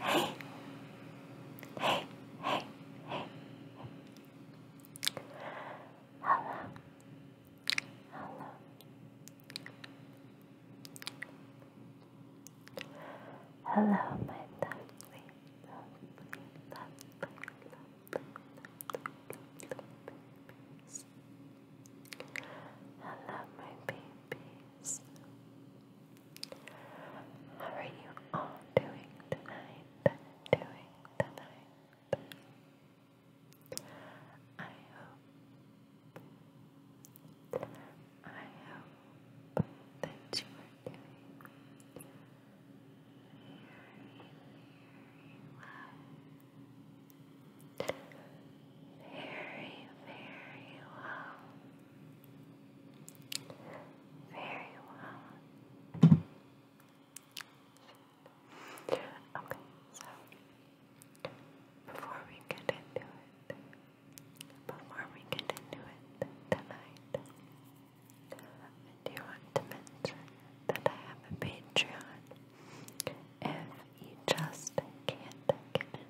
Hey. Hey. Hey. Hey. Hello. Hello. Hello, my lovely, lovely, lovely, lovely, lovely, lovely babies. Hello, my babies. How are you all doing tonight? Doing tonight? I hope, I hope that you are doing very, well. Very, very well. Very well. Okay, so before we get into it, before we get into it tonight, I do want to mention that I have a Patreon. If you just can't get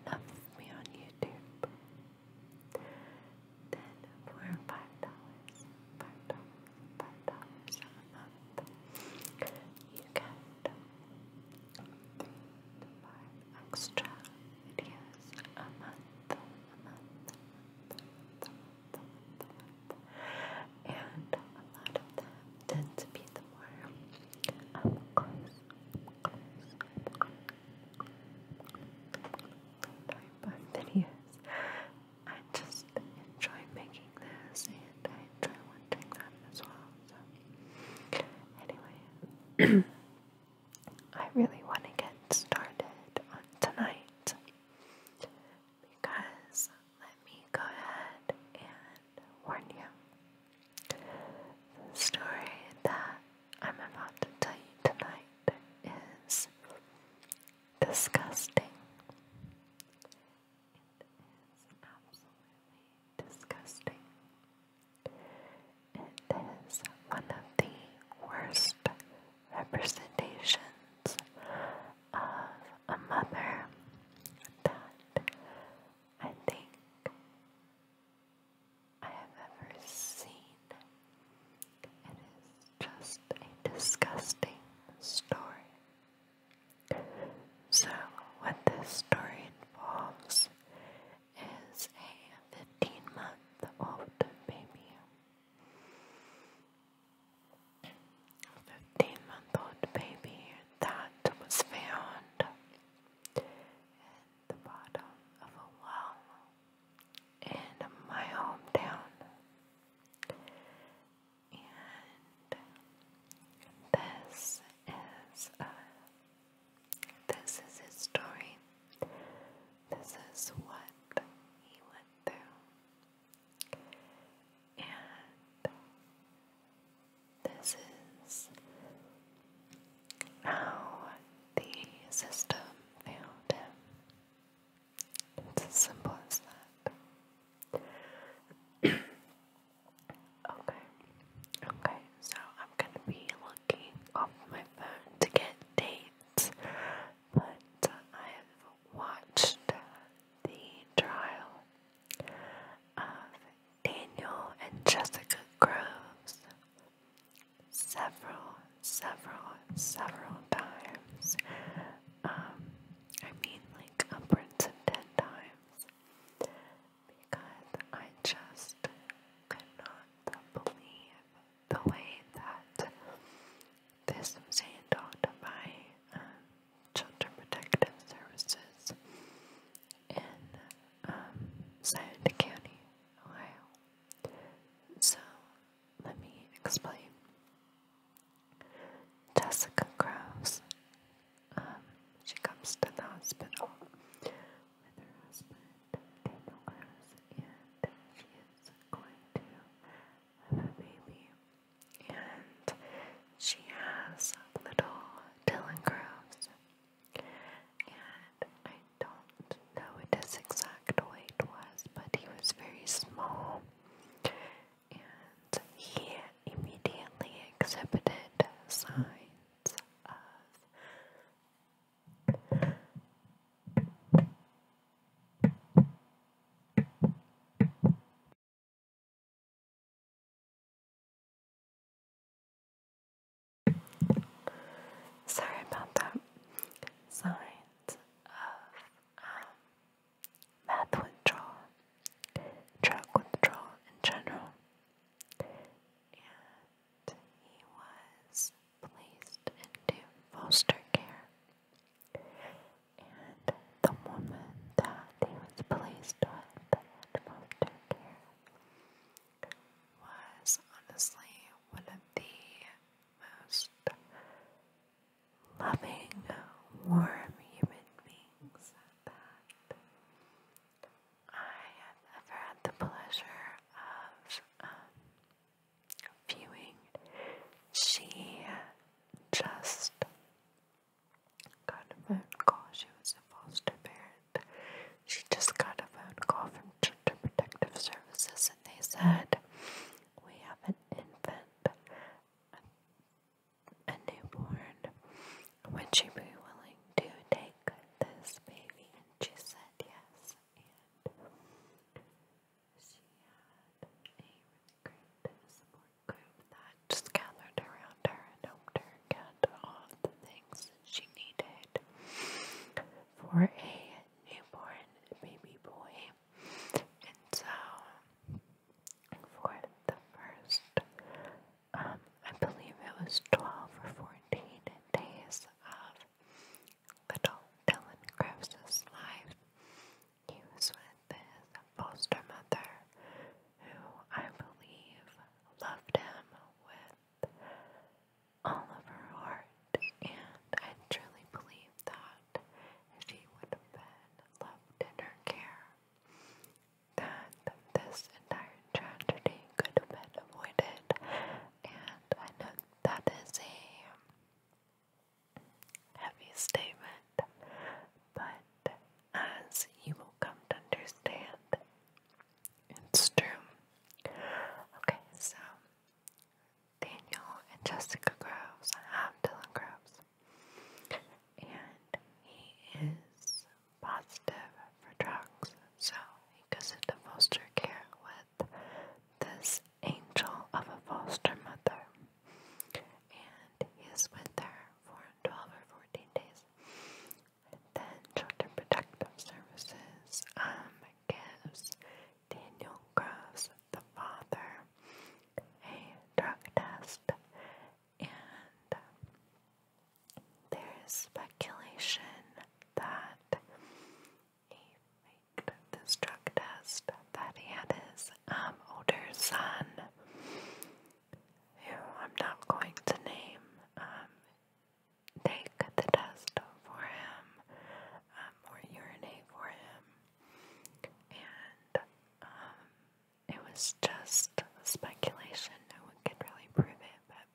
enough of me on YouTube. Then for five dollars, five dollars, five dollars a month, you get three five extra videos a month, a month, a month, a month, a month, a month, and a lot of them tend to be the more up um, close, type of videos. I just enjoy making this and I enjoy watching them as well. So, anyway, I really want to get started on tonight because let me go ahead and warn you. The story that I'm about to tell you tonight is disgusting. It is absolutely disgusting. It is one of the worst representations of a mother that I think I have ever seen. It is just a disgusting story. So, what this story involves is a 15 month old baby. 15 month old baby that was found at the bottom of a well in my hometown. And this is a, this is his story. This is what he went through. And this is how the system failed It's as simple as that. okay, okay, so I'm gonna be looking off my phone to get dates, but uh, I have watched uh, the trial of Daniel and Jessica Groves several, several, several times. Um, I mean, like upwards of 10 times because I just could not believe the way that this was handled um, Children Protective Services in um, County, Ohio. So, let me explain. Jessica Krause, um, she comes to the hospital with her husband, Daniel Krause, and she is going to have a baby and she has little Dylan and I don't know what his exact weight was, but he was very small, and he immediately exhibited signs of. Sorry about that. Signs of um, withdrawal, drug withdrawal in general. And he was placed into foster care and the woman that he was placed with and moved care was honestly one of the most loving, warm human beings that I have ever had the pleasure of um, viewing. She just got a phone call. She was a foster parent. She just got a phone call from Children Protective Services and they said, We have an infant, a, a newborn. Would she be willing to take this baby? And she said yes. And she had a secret support group that just gathered around her and helped her get all the things that she needed for a newborn baby boy. And so, for the first, um, I believe it was 12 or 14 days of little Dylan Krebs' life, he was with his foster mother, who I believe loved him with all of her heart, and I truly believe that if she would have been left in her care, that this entire tragedy could have been avoided, and I know that is a heavy statement, but as you will come to understand, it's true. Okay, so Daniel and Jessica Groves have Dylan Groves, and he is positive for drugs, so he goes into foster care with this angel of a foster mother and he is with her for 12 or 14 days. And then Children Protective Services um, gives Daniel Groves, the father, a drug test, and there is speculation that he faked this drug test, that he had his um, older son, who I'm not going to name, um, take the test for him um, or urinate for him. And it was just speculation. No one could really prove it, but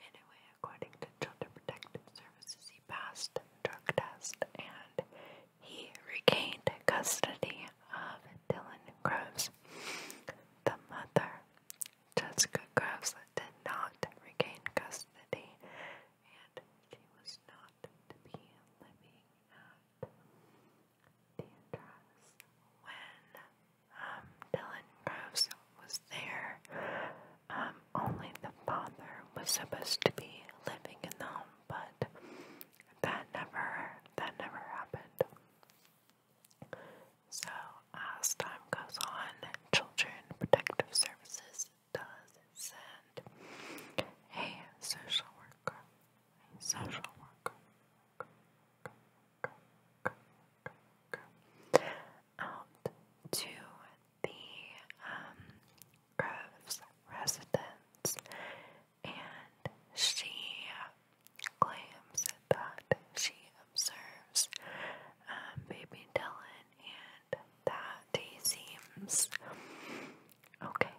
anyway, according to Child Protective Services, he passed the drug test and he regained custody of Dylan Groves. The mother, Jessica Groves, did not regain custody, and she was not to be living at the address when um, Dylan Groves was there. Um, only the father was supposed to be living in the home but that never that never happened. So as time goes on, Children Protective Services does send a social worker. social worker. Out to the um, Grove's residence, and she claims that she observes um, baby Dylan and that he seems okay.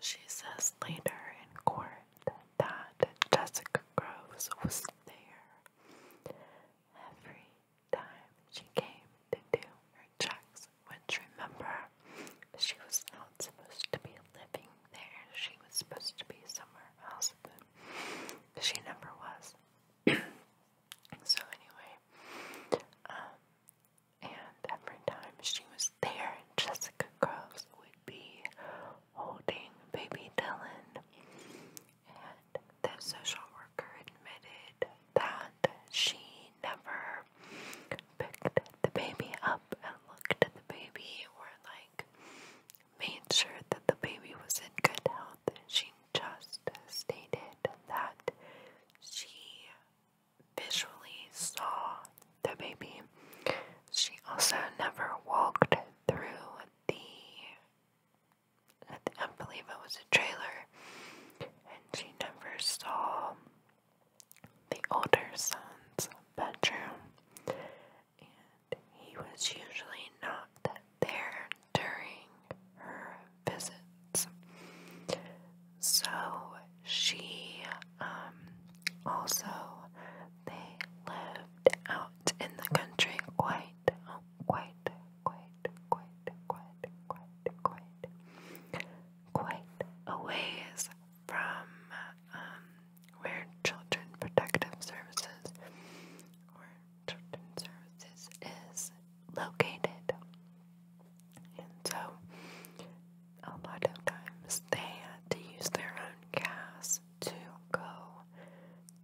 She says later in court that Jessica Groves was there every time she came to do her checks, which remember, she was not supposed to be living there. She was supposed to be somewhere else, but she never was. so anyway, um, and every time she was there, Jessica Cross would be holding baby Dylan, and the social worker admitted that she never picked the baby up and looked at the baby or like made sure that the baby was in good health. She just stated that she visually saw the baby. She also never walked through the I, I believe it was a trailer, and she never saw the older son's bedroom, and he was usually not there during her visits. So she, um, also, they lived out in the country quite oh, quite, quite, quite, quite, quite, quite, quite a ways from um, where Children Protective Services or Children Services is located. And so, a lot of times they had to use their own gas to go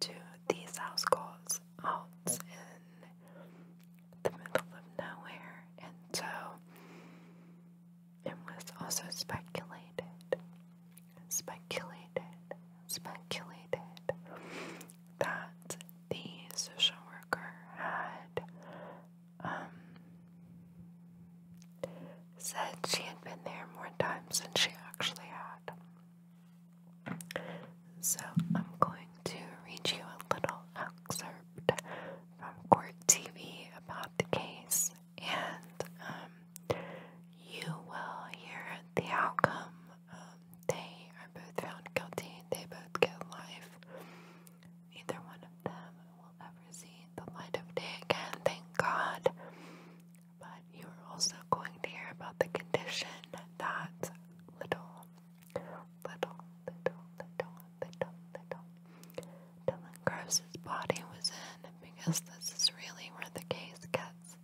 to these house calls, halts, and the middle of nowhere, and so it was also speculated, speculated, speculated that the social worker had um, said she had been there more times than she actually had. So I'm going to read you a little excerpt from court TV about the case, and um, you will hear the outcome. Um, they are both found guilty. They both get life. Either one of them will ever see the light of day again, thank God. But you are also going to hear about the condition that little, little, little, little, little, little Dylan Gross's body was in because this is really where the case gets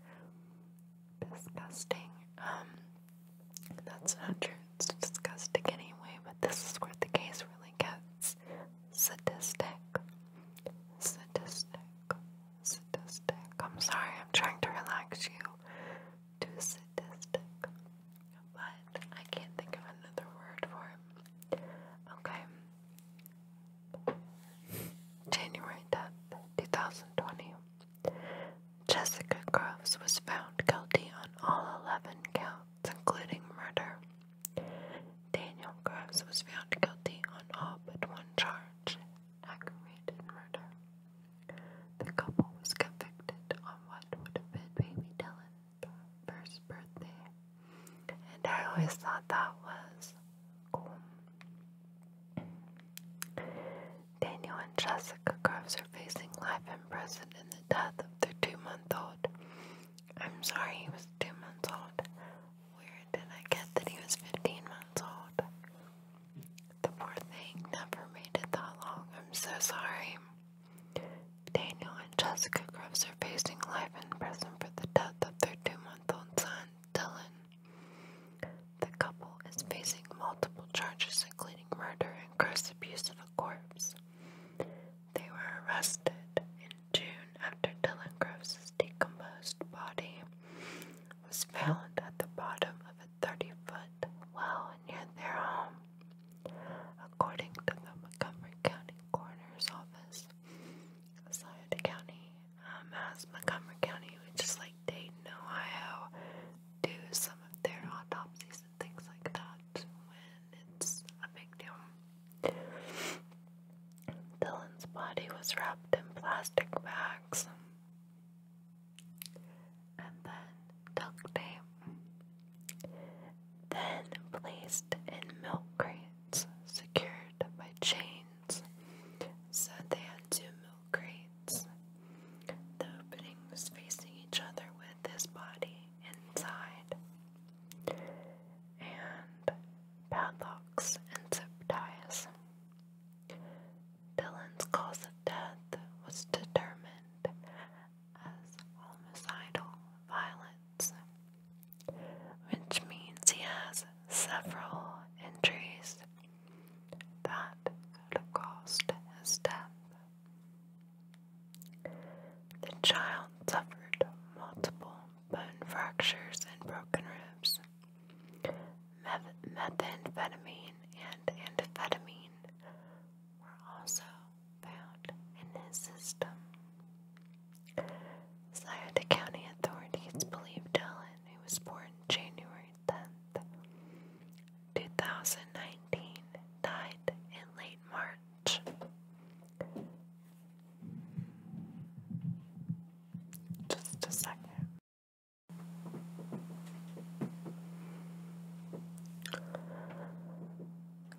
disgusting. Um, that's not true, it's disgusting anyway, but this is where the case really gets sadistic. Sadistic sadistic. I'm sorry, I'm trying to relax you Too sadistic. But I can't think of another word for it. Okay. January 10th, 2020. Jessica Groves was found guilty on all 11 counts, including murder. Daniel Groves was found guilty on all but one charge, aggravated murder. The couple was convicted on what would have been baby Dylan's first birthday, and I always thought that was cool. Daniel and Jessica Groves are facing life in prison and the death of their two-month-old. I'm sorry, he was two months old. Where did I get that he was 15 months old? The poor thing never made it that long. I'm so sorry. Daniel and Jessica Groves are facing life in prison for the death of their two month old son, Dylan. The couple is facing multiple charges, including murder and gross abuse of a corpse. They were arrested in June after Dylan Groves' decomposed body was found at the bottom of a 30 foot well near their home, according to the Montgomery County Coroner's Office. Sauter County, um, as Montgomery County, which is like Dayton, Ohio, do some of their autopsies and things like that when it's a big deal. Dylan's body was wrapped in plastic bags and then duct tape, then placed in milk crates secured by chains. So they had two milk crates, the openings facing each other with his body inside, and padlocks and zip ties. Dylan's cause of death was determined as homicidal violence, which means he has several injuries that could have caused his death. The child suffered multiple bone fractures and broken ribs, methamphetamine and amphetamine were also found in his system. Scioto County authorities believe Dillon, who was born January tenth, two 2019, died in late March. Just a second.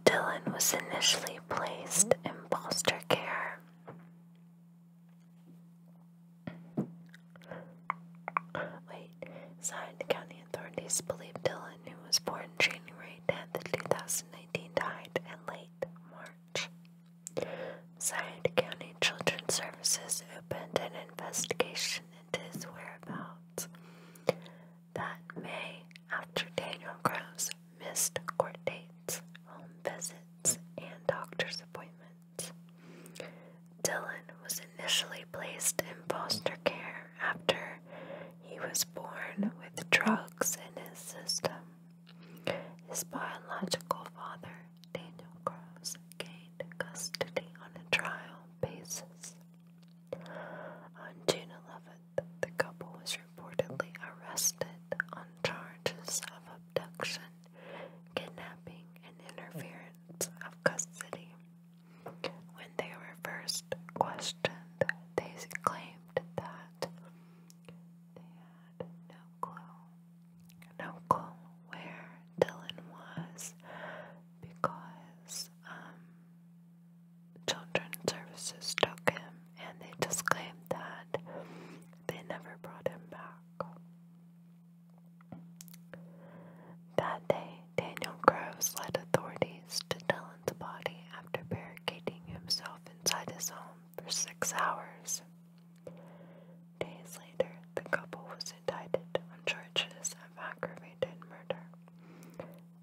Dylan was initially placed in foster care. Wait, Zion County authorities believe Dylan, who was born January 10th, 2019, died in late March. Zion County Children's Services opened an investigation into his whereabouts. That May, after Daniel Groves missed court dates, home visits, and doctor's appointments, Dylan was initially placed in foster care after he was born with drugs in his system. His biological father, Daniel Groves, gained custody on a trial basis. On June 11th, the couple was reportedly arrested on charges of abduction, kidnapping, and interference of custody. When they were first questioned, they claimed that they had no clue no clue where Dylan was because um, Services took him and they just claimed that they never brought him back. That day, Daniel Groves led authorities to Dylan's body after barricading himself inside his home for six hours. Days later, the couple was indicted on charges of aggravated murder,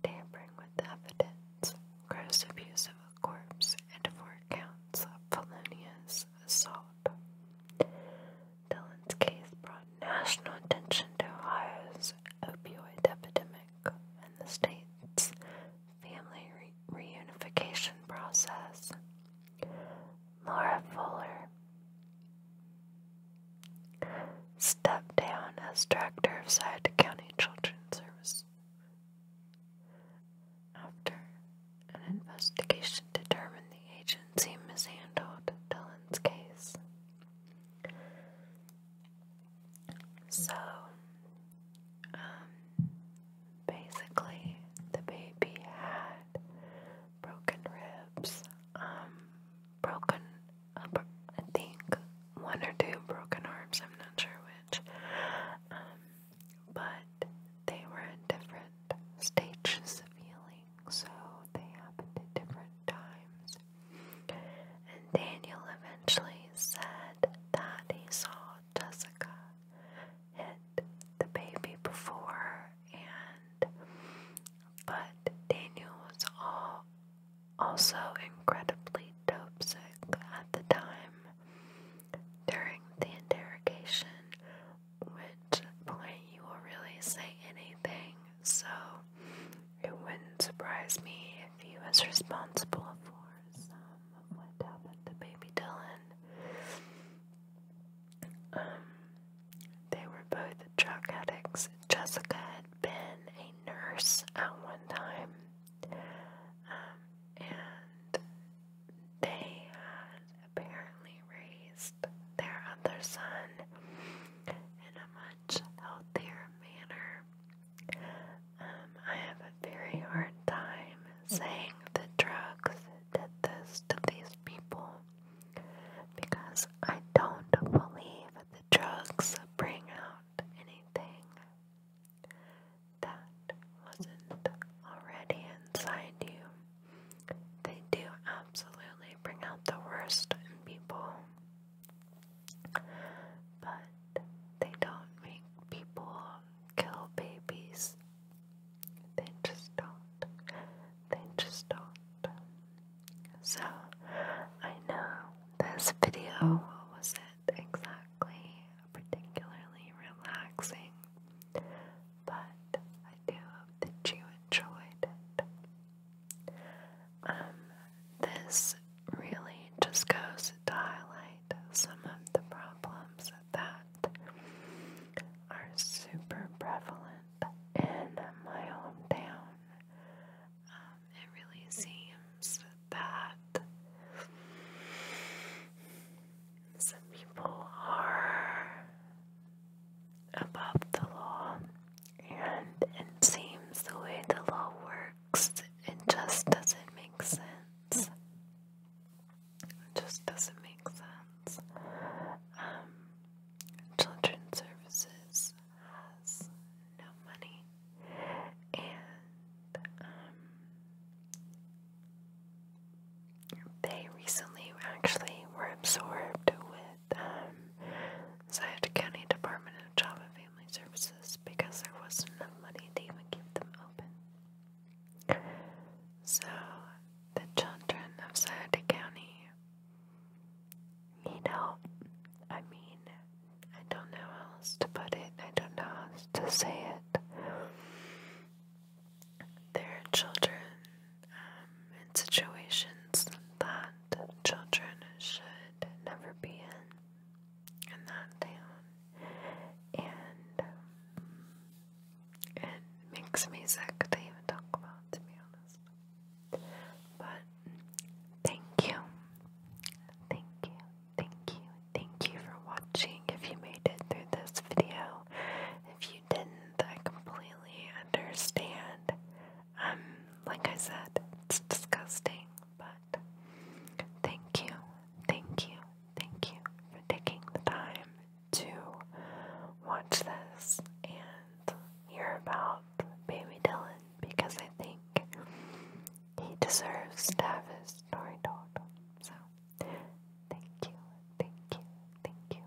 tampering with evidence, gross abuse of a corpse, and four counts of felonious assault. Dillon's case brought national attention to Ohio's opioid epidemic and the state's family reunification process. Laura Fuller stepped down as director of Sauda County Children's Service after an investigation determined the agency mishandled Dylan's case. So, um, basically the baby had broken ribs, um, broken, uh, I think one or two broken arms, I'm not sure which, um, but they were in different stages of healing, so they happened at different times. And Daniel eventually said that he saw Jessica hit the baby before, and but Daniel was all also incredibly dope sick at the time during the interrogation, which point you will really say anything, so it wouldn't surprise me if he was responsible for some what happened to baby Dylan. Um, they were both drug addicts. Jessica had been a nurse at one time, um, and they had apparently raised their other son in a much healthier manner. Um, I have a very hard time saying the drugs did this to these people because I don't believe that drugs bring out anything that wasn't already inside you. They do absolutely bring out the worst in people. But they don't make people kill babies. They just don't. They just don't. So, I know this video, was it exactly particularly relaxing, but I do hope that you enjoyed it. Um, this really just goes to highlight some of the problems that are super prevalent in my hometown. Um, it really seems that some people are above the law, and it seems the way the law works it just doesn't make sense. It just doesn't make sense. Um, children's Services has no money, and um, they recently actually were absorbed with um, Scioto Department of Job family services because there wasn't enough money to even keep them open. So, the children of Santa County you know, I mean, I don't know how else to put it, I don't know how else to say it. There are children um, in situations that children should never be in in that town, and um, it makes me sick to even talk about, to be honest. But thank you, thank you, thank you, thank you for watching. If you made it through this video, if you didn't, I completely understand. Um, like I said, it's disgusting, but Thank you, thank you, thank you for taking the time to watch this and hear about Baby Dylan because I think he deserves to have his story told. So, thank you, thank you, thank you.